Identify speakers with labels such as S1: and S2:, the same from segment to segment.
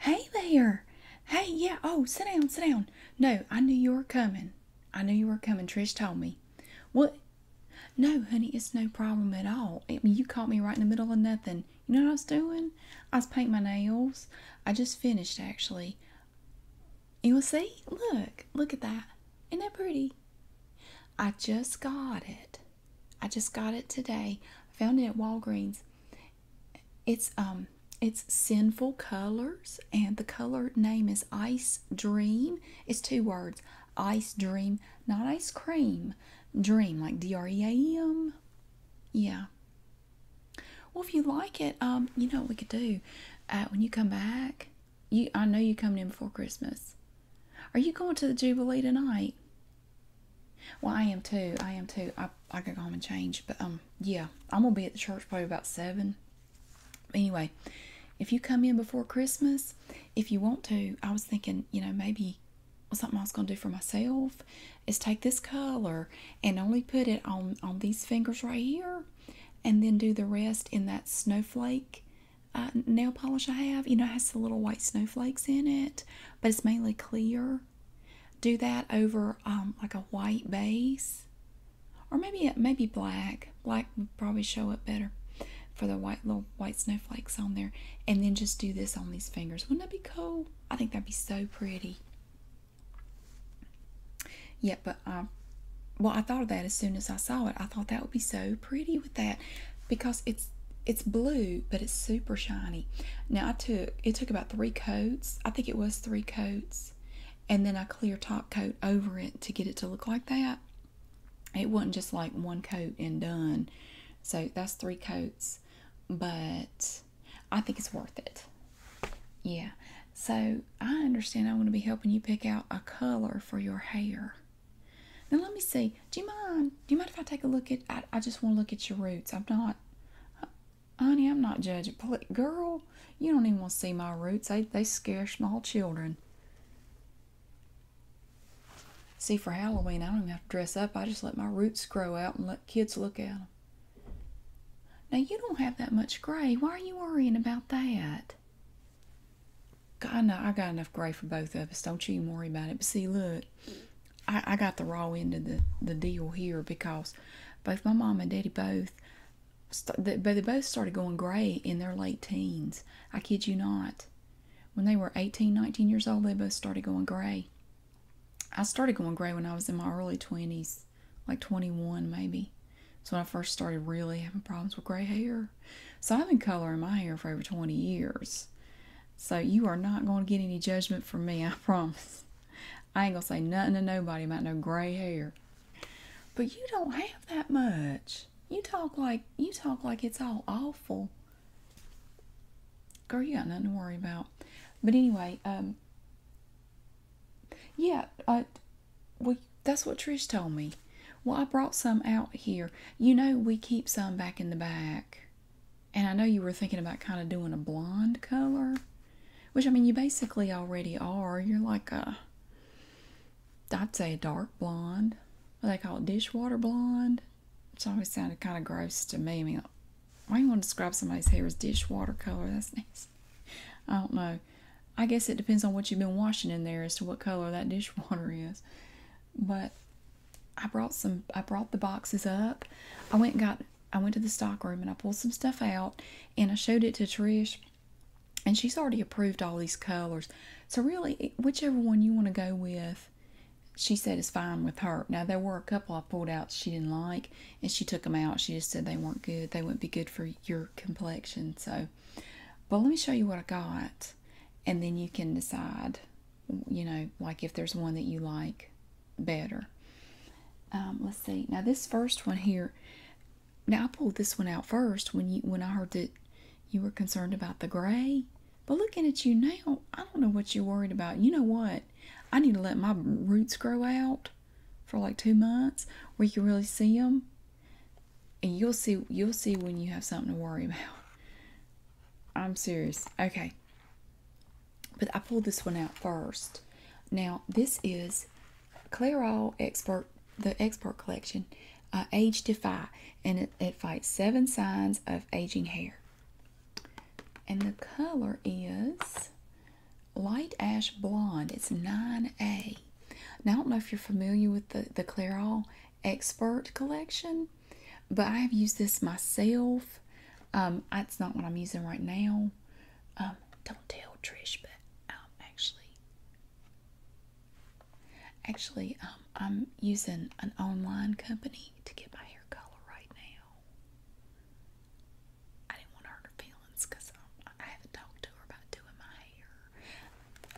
S1: Hey there. Hey, yeah. Oh, sit down, sit down. No, I knew you were coming. I knew you were coming. Trish told me. What? No, honey, it's no problem at all. I mean, you caught me right in the middle of nothing. You know what I was doing? I was painting my nails. I just finished, actually. You will see? Look. Look at that. Ain't that pretty? I just got it. I just got it today. I found it at Walgreens. It's um it's Sinful Colors and the color name is Ice Dream. It's two words. Ice Dream, not ice cream. Dream like D R E A M. Yeah. Well, if you like it, um you know what we could do uh, when you come back. You I know you coming in before Christmas. Are you going to the Jubilee tonight? Well, I am too. I am too. I I could go home and change, but um, yeah, I'm gonna be at the church probably about seven. Anyway, if you come in before Christmas, if you want to, I was thinking, you know, maybe something I was gonna do for myself is take this color and only put it on on these fingers right here, and then do the rest in that snowflake uh, nail polish I have. You know, has the little white snowflakes in it but it's mainly clear. Do that over um, like a white base, or maybe maybe black. Black would probably show up better for the white little white snowflakes on there, and then just do this on these fingers. Wouldn't that be cool? I think that'd be so pretty. Yeah, but um, well, I thought of that as soon as I saw it. I thought that would be so pretty with that because it's it's blue but it's super shiny now i took it took about three coats i think it was three coats and then i clear top coat over it to get it to look like that it wasn't just like one coat and done so that's three coats but i think it's worth it yeah so i understand i want to be helping you pick out a color for your hair now let me see. Do you mind? Do you mind if I take a look at? I, just want to look at your roots. I'm not, honey. I'm not judging. Girl, you don't even want to see my roots. They they scare small children. See, for Halloween, I don't even have to dress up. I just let my roots grow out and let kids look at them. Now you don't have that much gray. Why are you worrying about that? God, no, I got enough gray for both of us. Don't you even worry about it. But see, look, I, got the raw end of the, the deal here because both my mom and daddy both, but they both started going gray in their late teens. I kid you not. When they were 18, 19 years old, they both started going gray. I started going gray when I was in my early 20s, like 21 maybe. That's when I first started really having problems with gray hair. So I've been coloring my hair for over 20 years. So you are not going to get any judgment from me, I promise. I ain't going to say nothing to nobody about no gray hair. But you don't have that much. You talk like you talk like it's all awful. Girl, you got nothing to worry about. But anyway, um yeah, I uh, well that's what Trish told me. Well, I brought some out here. You know, we keep some back in the back. And I know you were thinking about kind of doing a blonde color, which I mean, you basically already are. You're like a, I'd say a dark blonde. What they call it dishwater blonde. which always sounded kind of gross to me. I mean, why you want to describe somebody's hair as dishwater color? That's nice. I don't know. I guess it depends on what you've been washing in there as to what color that dishwater is. But I brought some I brought the boxes up. I went and got I went to the stockroom and I pulled some stuff out and I showed it to Trish and she's already approved all these colors. So really whichever one you want to go with she said is fine with her. Now there were a couple I pulled out she didn't like and she took them out. She just said they weren't good. They wouldn't be good for your complexion. So but let me show you what I got and then you can decide, you know, like if there's one that you like better. Um, let's see. Now this first one here. Now I pulled this one out first when you when I heard that you were concerned about the gray. But looking at you now, I don't know what you're worried about. You know what? I need to let my roots grow out for like two months where you can really see them and you'll see you'll see when you have something to worry about. I'm serious. Okay. But I pulled this one out first. Now this is Clarol Expert the Expert Collection uh, Age Defy and it, fights seven signs of aging hair. And the color is light ash blonde. It's 9A. Now I don't know if you're familiar with the, the Clairol expert collection, but I have used this myself. Um, it's not what I'm using right now. Um, don't tell Trish, but um, actually, actually, I'm using an online company to get my hair color right now. I didn't want to hurt her feelings because I haven't talked to her about doing my hair.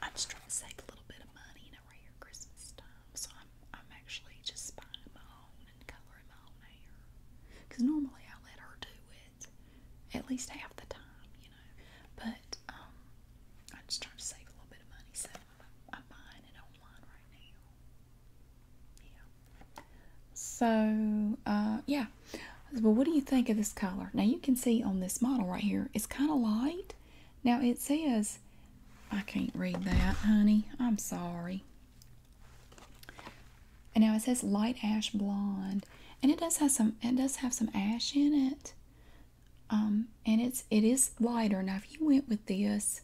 S1: I'm just trying to save a little bit of money, around Christmas time, so I'm I'm actually just buying my own and coloring my own hair. Cause normally I let her do it, at least half the time, you know. But I'm um, just trying to save a little bit of money, so I'm, buying it online right now. Yeah. So uh, yeah. Well, what do you think of this color? Now you can see on this model right here, it's kind of light, now it says, I can't read that, honey. I'm sorry. And now it says light ash blonde, and it does have some. It does have some ash in it, um, and it's it is lighter. Now, if you went with this,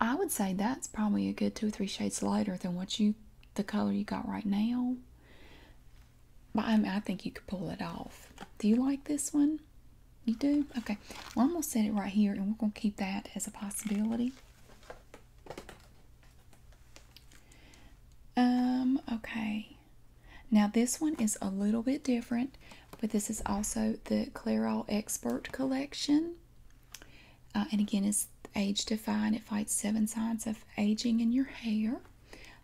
S1: I would say that's probably a good two or three shades lighter than what you the color you got right now. But I, think you could pull it off. Do you like this one? You do? Okay. Well, I'm going to set it right here, and we're going to keep that as a possibility. Um, okay. Now, this one is a little bit different, but this is also the Clairol Expert Collection. Uh, and again, it's age-defying. It fights seven signs of aging in your hair.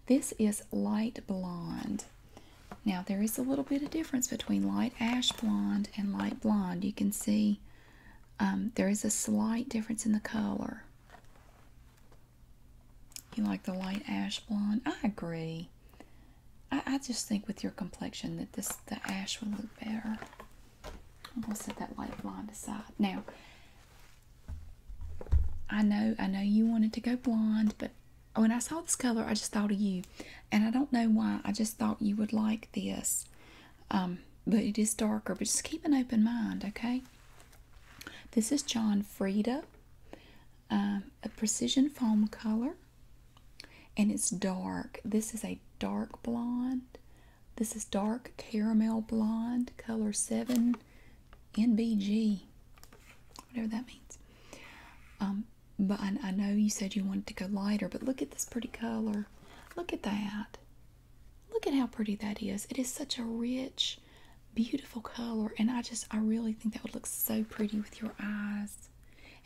S1: This is light blonde. Now there is a little bit of difference between light ash blonde and light blonde. You can see um, there is a slight difference in the color. You like the light ash blonde? I agree. I, I just think with your complexion that this the ash would look better. I'm gonna set that light blonde aside. Now, I know, I know you wanted to go blonde, but when I saw this color, I just thought of you. And I don't know why, I just thought you would like this. Um, but it is darker, but just keep an open mind, okay? This is John Frieda, um, a precision foam color, and it's dark. This is a dark blonde. This is dark caramel blonde, color seven NBG, whatever that means. Um, but I know you said you wanted to go lighter, but look at this pretty color. Look at that. Look at how pretty that is. It is such a rich, beautiful color, and I just, I really think that would look so pretty with your eyes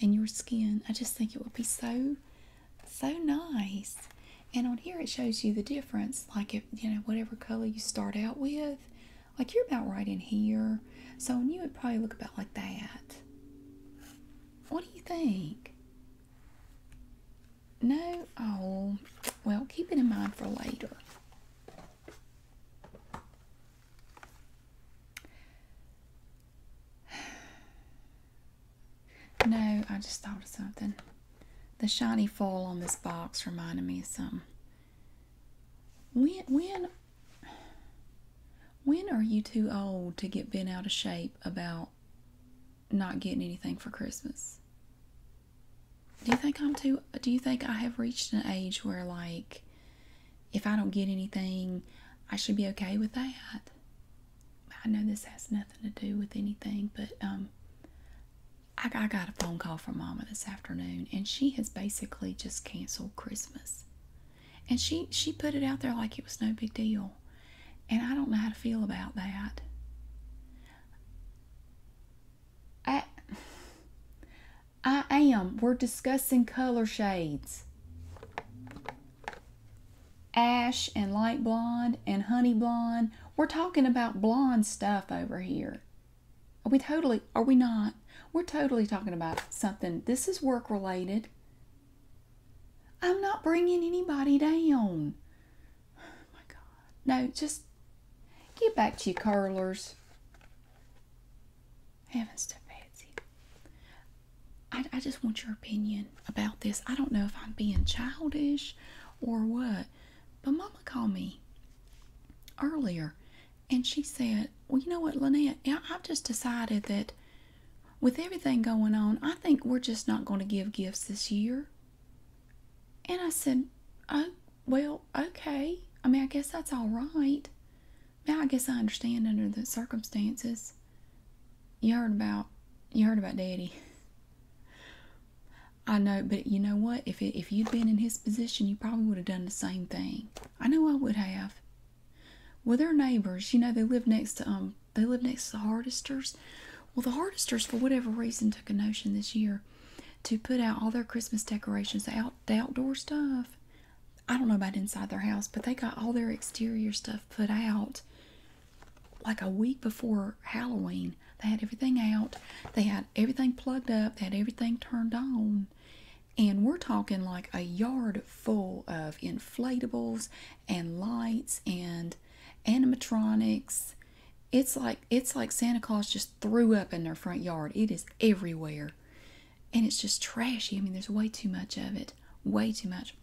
S1: and your skin. I just think it would be so, so nice. And on here, it shows you the difference. Like, if you know, whatever color you start out with, like you're about right in here. So and you would probably look about like that. What do you think? No? Oh, well, keep it in mind for later. No, I just thought of something. The shiny foil on this box reminded me of some. When when when are you too old to get bent out of shape about not getting anything for Christmas? Do you think I'm too do you think I have reached an age where like if I don't get anything, I should be okay with that? I know this has nothing to do with anything, but um I, got a phone call from Mama this afternoon, and she has basically just canceled Christmas. And she she put it out there like it was no big deal, and I don't know how to feel about that. I I am. We're discussing color shades. Ash and light blonde and honey blonde. We're talking about blonde stuff over here. Are we totally, are we not? We're totally talking about something. This is work related. I'm not bringing anybody down. my God. No, just get back to your curlers. Heavens to Patsy. I, I just want your opinion about this. I don't know if I'm being childish or what, but Mama called me earlier and she said, Well, you know what, Lynette, I've just decided that with everything going on, I think we're just not going to give gifts this year. And I said, Oh, well, okay. I mean, I guess that's all right. Now, I guess I understand under the circumstances. You heard about, you heard about Daddy. I know, but you know what? If it, if you'd been in his position, you probably would have done the same thing. I know I would have. Well, they neighbors. You know, they live next to um, they live next to the Hardisters. Well, the Hardisters, for whatever reason, took a notion this year to put out all their Christmas decorations, out the outdoor stuff. I don't know about inside their house, but they got all their exterior stuff put out like a week before Halloween they had everything out, they had everything plugged up, they had everything turned on. And we're talking like a yard full of inflatables and lights and animatronics. It's like it's like Santa Claus just threw up in their front yard. It is everywhere. And it's just trashy. I mean, there's way too much of it. Way too much.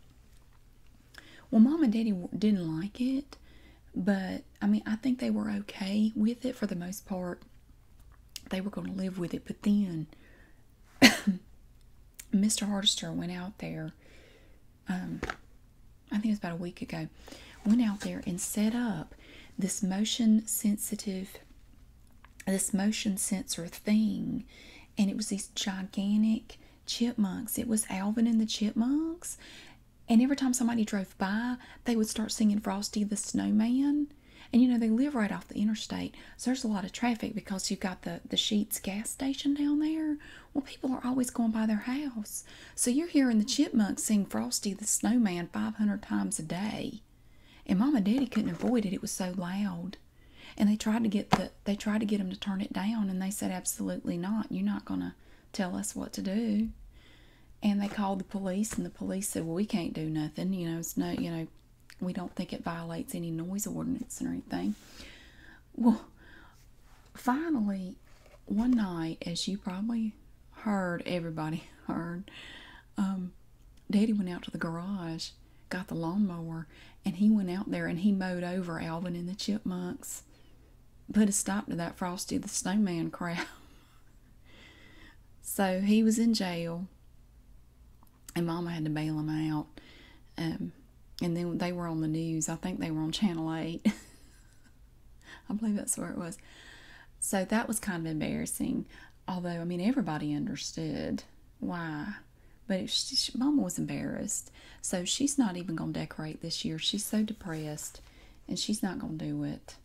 S1: Well, Mom and Daddy didn't like it. But I mean, I think they were okay with it for the most part. They were going to live with it. But then Mr. Hardister went out there, um, I think it was about a week ago, went out there and set up this motion sensitive, this motion sensor thing. And it was these gigantic chipmunks. It was Alvin and the Chipmunks. And every time somebody drove by, they would start singing Frosty the Snowman. And you know, they live right off the interstate. So there's a lot of traffic because you've got the, the Sheets gas station down there. Well, people are always going by their house. So you're hearing the chipmunks sing Frosty the Snowman 500 times a day. And Mama and Daddy couldn't avoid it. It was so loud. And they tried to get the they tried to get them to turn it down and they said absolutely not. You're not going to tell us what to do. And they called the police, and the police said, Well, we can't do nothing. You know, it's no, you know, we don't think it violates any noise ordinance or anything. Well, finally, one night, as you probably heard, everybody heard, um, Daddy went out to the garage, got the lawnmower, and he went out there and he mowed over Alvin and the chipmunks put a stop to that Frosty the Snowman crowd. so he was in jail, and Mama had to bail him out. Um, and then they were on the news. I think they were on Channel 8. I believe that's where it was. So that was kind of embarrassing. Although, I mean, everybody understood why. But she, Mama was embarrassed. So she's not even going to decorate this year. She's so depressed and she's not going to do it.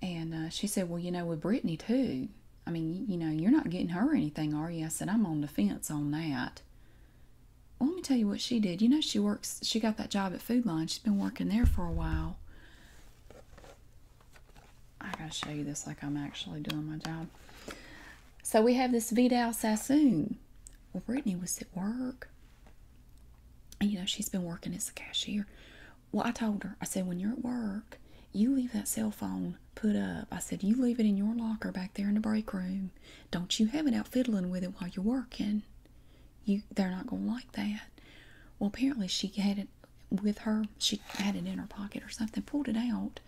S1: And uh, she said, Well, you know, with Brittany too, I mean, you know, you're not getting her anything, are you? I said, I'm on the fence on that. let me tell you what she did. You know, she works, she got that job at Food She's been working there for a while. I gotta show you this like I'm actually doing my job. So we have this Vidal Sassoon. Well, Brittany was at work you know, she's been working as a cashier. Well, I told her, I said, when you're at work, you leave that cell phone put up. I said, you leave it in your locker back there in the break room. Don't you have it out fiddling with it while you're working. You, they're not going to like that. Well, apparently she had it with her. She had it in her pocket or something, pulled it out.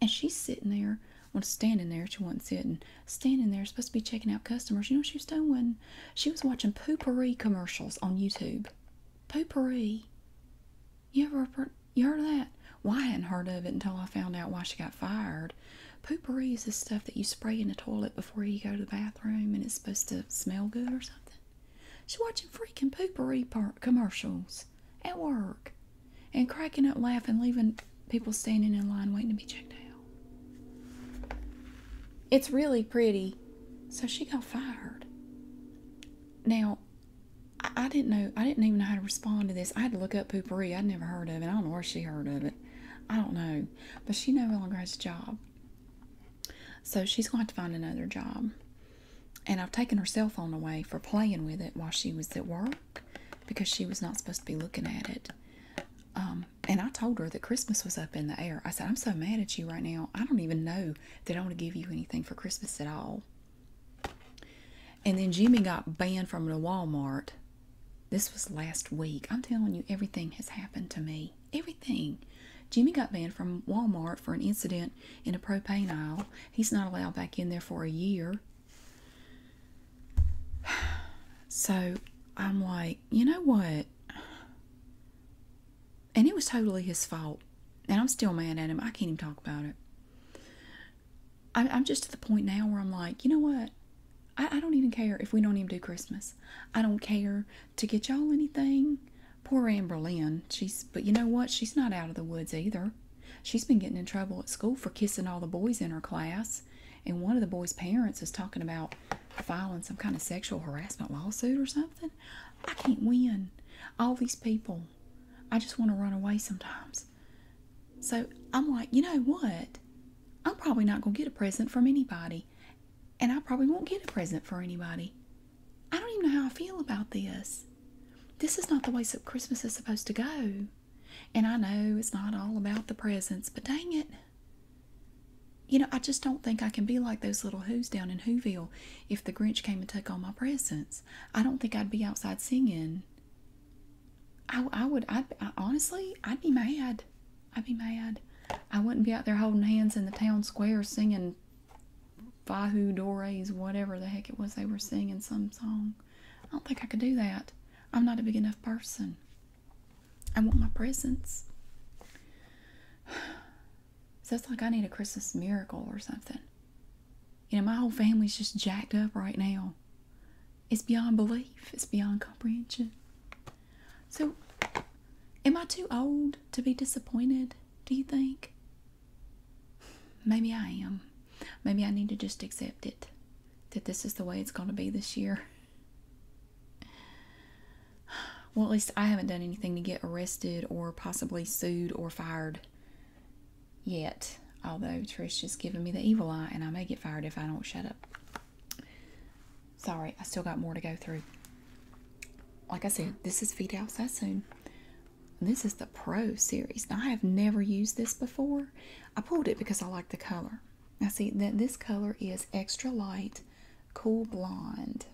S1: And she's sitting there was standing there. She wasn't sitting. Standing there, supposed to be checking out customers. You know she was doing? She was watching poopery commercials on YouTube. Poopery. You ever heard, you heard of that? Why I hadn't heard of it until I found out why she got fired. Poopery is the stuff that you spray in the toilet before you go to the bathroom and it's supposed to smell good or something. She's watching freaking poopery commercials at work and cracking up laughing, leaving people standing in line waiting to be checked out. It's really pretty. So she got fired. Now, I, didn't know, I didn't even know how to respond to this. I had to look up poopery. I'd never heard of it. I don't know where she heard of it. I don't know. But she no longer has a job. So she's going to, to find another job. And I've taken her cell phone away for playing with it while she was at work because she was not supposed to be looking at it. Um, and I told her that Christmas was up in the air. I said, I'm so mad at you right now. I don't even know that I want to give you anything for Christmas at all. And then Jimmy got banned from a Walmart. This was last week. I'm telling you, everything has happened to me. Everything. Jimmy got banned from Walmart for an incident in a propane aisle. He's not allowed back in there for a year. So I'm like, you know what? And it was totally his fault. And I'm still mad at him. I can't even talk about it. I'm, just at the point now where I'm like, you know what? I, don't even care if we don't even do Christmas. I don't care to get y'all anything. Poor Amber Lynn. She's, but you know what? She's not out of the woods either. She's been getting in trouble at school for kissing all the boys in her class and one of the boys' parents is talking about filing some kind of sexual harassment lawsuit or something. I can't win. All these people, I just want to run away sometimes. So I'm like, you know what? I'm probably not going to get a present from anybody, and I probably won't get a present for anybody. I don't even know how I feel about this. This is not the way Christmas is supposed to go. And I know it's not all about the presents, but dang it. You know, I just don't think I can be like those little whoos down in Whoville if the Grinch came and took all my presents. I don't think I'd be outside singing. I, I would, i honestly, I'd be mad. I'd be mad. I wouldn't be out there holding hands in the town square singing Fahu Dore's, whatever the heck it was they were singing, some song. I don't think I could do that. I'm not a big enough person. I want my presents. So it's like I need a Christmas miracle or something. You know, my whole family's just jacked up right now. It's beyond belief, it's beyond comprehension. So, am I too old to be disappointed, do you think? Maybe I am. Maybe I need to just accept it that this is the way it's going to be this year. Well, at least I haven't done anything to get arrested or possibly sued or fired yet. Although Trish has given me the evil eye, and I may get fired if I don't shut up. Sorry, I still got more to go through. Like I said, this is Feed Outside Soon. This is the Pro series. I have never used this before. I pulled it because I like the color. Now see that this color is extra light, cool blonde.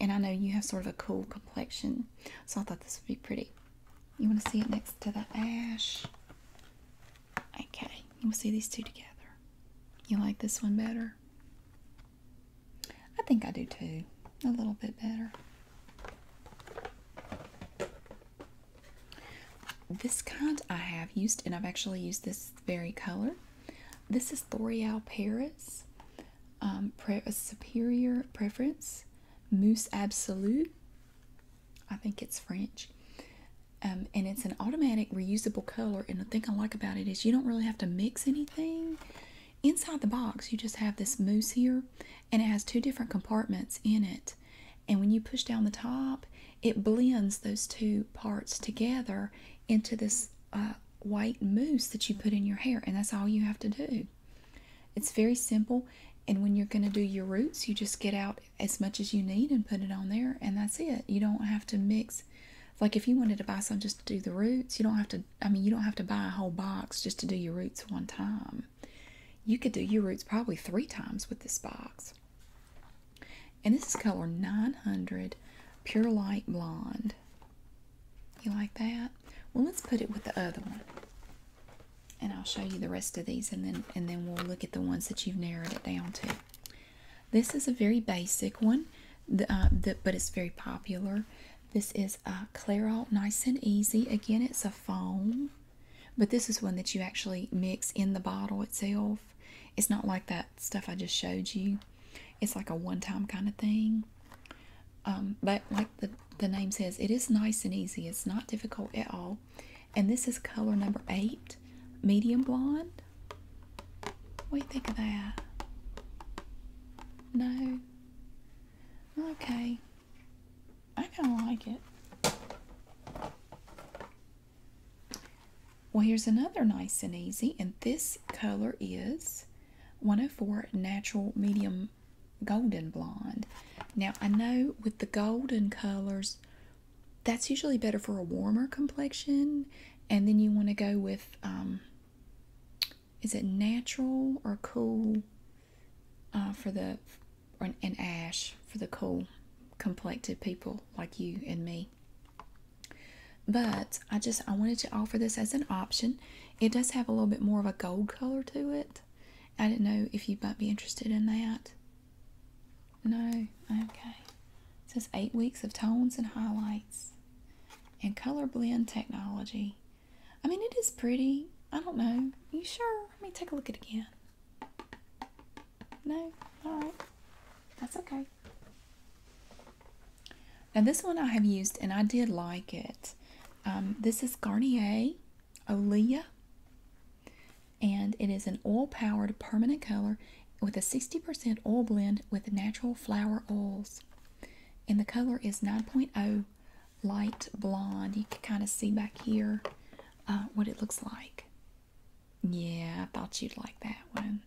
S1: And I know you have sort of a cool complexion, so I thought this would be pretty. You want to see it next to the ash? Okay, you want to see these two together. You like this one better? I think I do too. A little bit better. This kind I have used, and I've actually used this very color. This is Thoreau Paris, um, Superior Preference, Mousse Absolute. I think it's French. Um, and it's an automatic reusable color. And the thing I like about it is you don't really have to mix anything. Inside the box, you just have this mousse here, and it has two different compartments in it. And when you push down the top, it blends those two parts together into this uh, white mousse that you put in your hair, and that's all you have to do. It's very simple. And when you're going to do your roots, you just get out as much as you need and put it on there, and that's it. You don't have to mix. Like if you wanted to buy some just to do the roots, you don't have to. I mean, you don't have to buy a whole box just to do your roots one time. You could do your roots probably three times with this box. And this is color 900 Pure Light Blonde. You like that? Well, let's put it with the other one. And I'll show you the rest of these and then and then we'll look at the ones that you've narrowed it down to. This is a very basic one, uh, but it's very popular. This is a Clairol Nice and Easy. Again, it's a foam, but this is one that you actually mix in the bottle itself. It's not like that stuff I just showed you. It's like a one-time kind of thing. Um, but like the, the name says, it is nice and easy. It's not difficult at all. And this is color number eight, medium blonde. What do you think of that? No? Okay. I kind of like it. Well, here's another nice and easy, and this color is 104 Natural Medium Golden Blonde. Now, I know with the golden colors, that's usually better for a warmer complexion, and then you want to go with, um, is it natural or cool? Uh, for the or an ash for the cool complected people like you and me but i just i wanted to offer this as an option it does have a little bit more of a gold color to it i didn't know if you might be interested in that no okay it says eight weeks of tones and highlights and color blend technology I mean, it is pretty. I don't know. you sure? Let me take a look at it again. No? Alright. That's okay. Now, this one I have used and I did like it. Um, this is Garnier Olia, and it is an oil powered permanent color with a 60% oil blend with natural flower oils. And the color is 9.0 light blonde. You can kind of see back here uh, what it looks like. Yeah, I thought you'd like that one.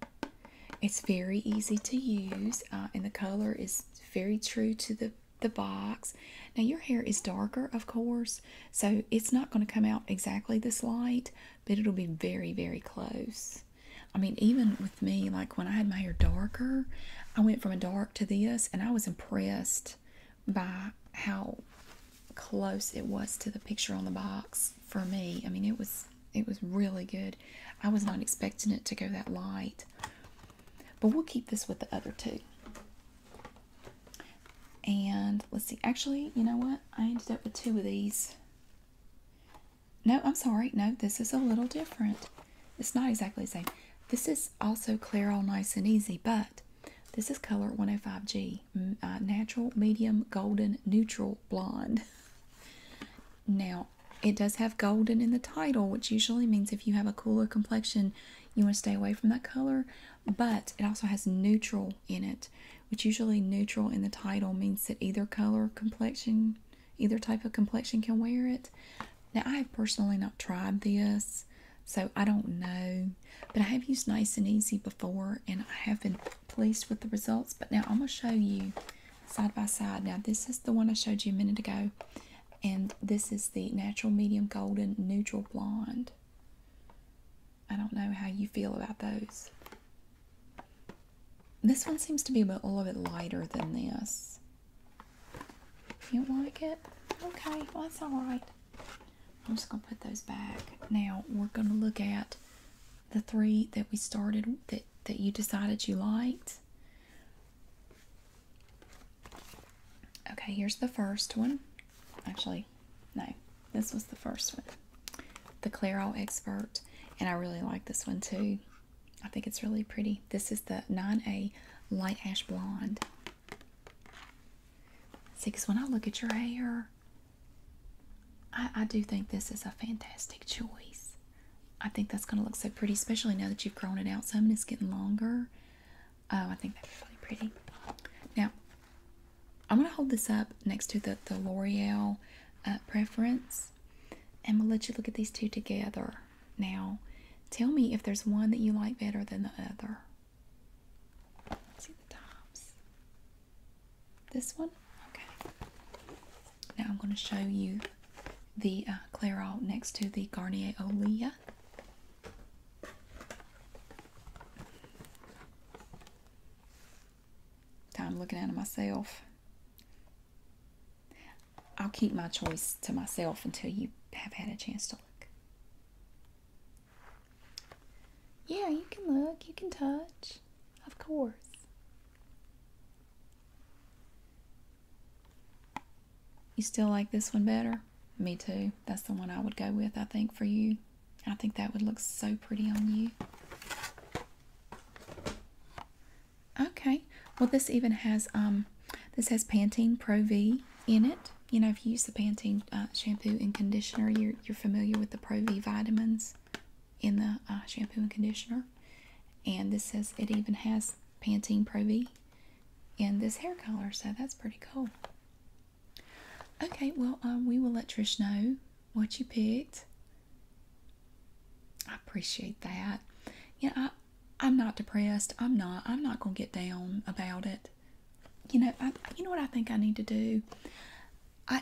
S1: It's very easy to use, uh, and the color is very true to the, the box. Now, your hair is darker, of course, so it's not going to come out exactly this light, but it'll be very, very close. I mean, even with me like when I had my hair darker, I went from a dark to this and I was impressed by how close it was to the picture on the box for me. I mean it was it was really good. I was not expecting it to go that light. But we'll keep this with the other two. And let's see. Actually, you know what? I ended up with two of these. No, I'm sorry. No, this is a little different. It's not exactly the same. This is also clear all nice and easy, but this is color 105G, uh, natural, medium, golden, neutral, blonde. now, it does have golden in the title, which usually means if you have a cooler complexion, you want to stay away from that color. But it also has neutral in it, which usually neutral in the title means that either color complexion either type of complexion can wear it. Now, I have personally not tried this, so I don't know. But I have used Nice and Easy before, and I have been pleased with the results. But now I'm going to show you side by side. Now, this is the one I showed you a minute ago, and this is the Natural Medium Golden Neutral Blonde. I don't know how you feel about those. This one seems to be a little bit lighter than this. You like it? Okay, that's all right. I'm just gonna put those back. Now we're gonna look at the three that we started that that you decided you liked. Okay, here's the first one. Actually, no, this was the first one. The Clairol Expert, and I really like this one too. I think it's really pretty. This is the 9A Light Ash Blonde. See, because when I look at your hair, I, do think this is a fantastic choice. I think that's going to look so pretty, especially now that you've grown it out some and it's getting longer. Oh, I think that's really pretty. Now, I'm going to hold this up next to the, the L'Oreal uh, Preference and we'll let you look at these two together. Now, tell me if there's one that you like better than the other. see the tops. This one? Okay. Now I'm going to show you the uh, Clairol next to the Garnier Olea. Time looking at it myself. I'll keep my choice to myself until you have had a chance to look. Yeah, you can look, you can touch, of course. You still like this one better? Me too. That's the one I would go with, I think, for you. I think that would look so pretty on you. Okay. Well, this even has um, this has Pantene Pro V in it. You know, if you use the Pantene uh, shampoo and conditioner, you're you're familiar with the Pro V vitamins in the uh, shampoo and conditioner. And this says it even has Pantene Pro V in this hair color, so that's pretty cool. Okay, well, um, we will let Trish know what you picked. I appreciate that. Yeah, I, am not depressed. I'm not. I'm not gonna get down about it. You know, I, you know what I think I need to do. I,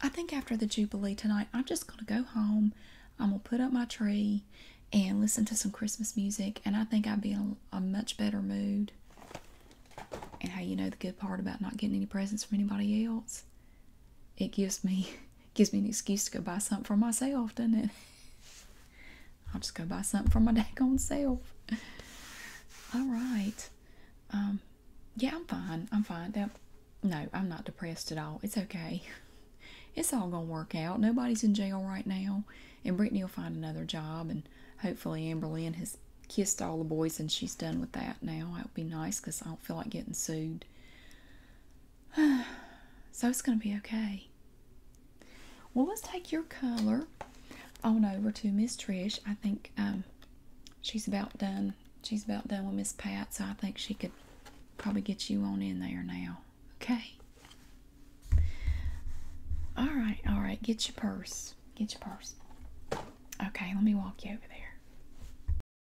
S1: I think after the jubilee tonight, I'm just gonna go home. I'm gonna put up my tree and listen to some Christmas music, and I think I'd be in a, much better mood. And how you know the good part about not getting any presents from anybody else? It gives me Gives me an excuse to go buy something for myself, doesn't it? I'll just go buy something for my daggone self. All right. Um, yeah, I'm fine. I'm fine. no, I'm not depressed at all. It's okay. It's all gonna work out. Nobody's in jail right now, and Brittany will find another job, and hopefully Amberlynn has kissed all the boys and she's done with that now. That would be nice 'cause I don't feel like getting sued. so it's going to be okay. Well, let's take your color on oh, over to Miss Trish. I think um, she's about done. She's about done with Miss Pat, so I think she could probably get you on in there now. Okay. All right, all right. Get your purse. Get your purse. Okay, let me walk you over there.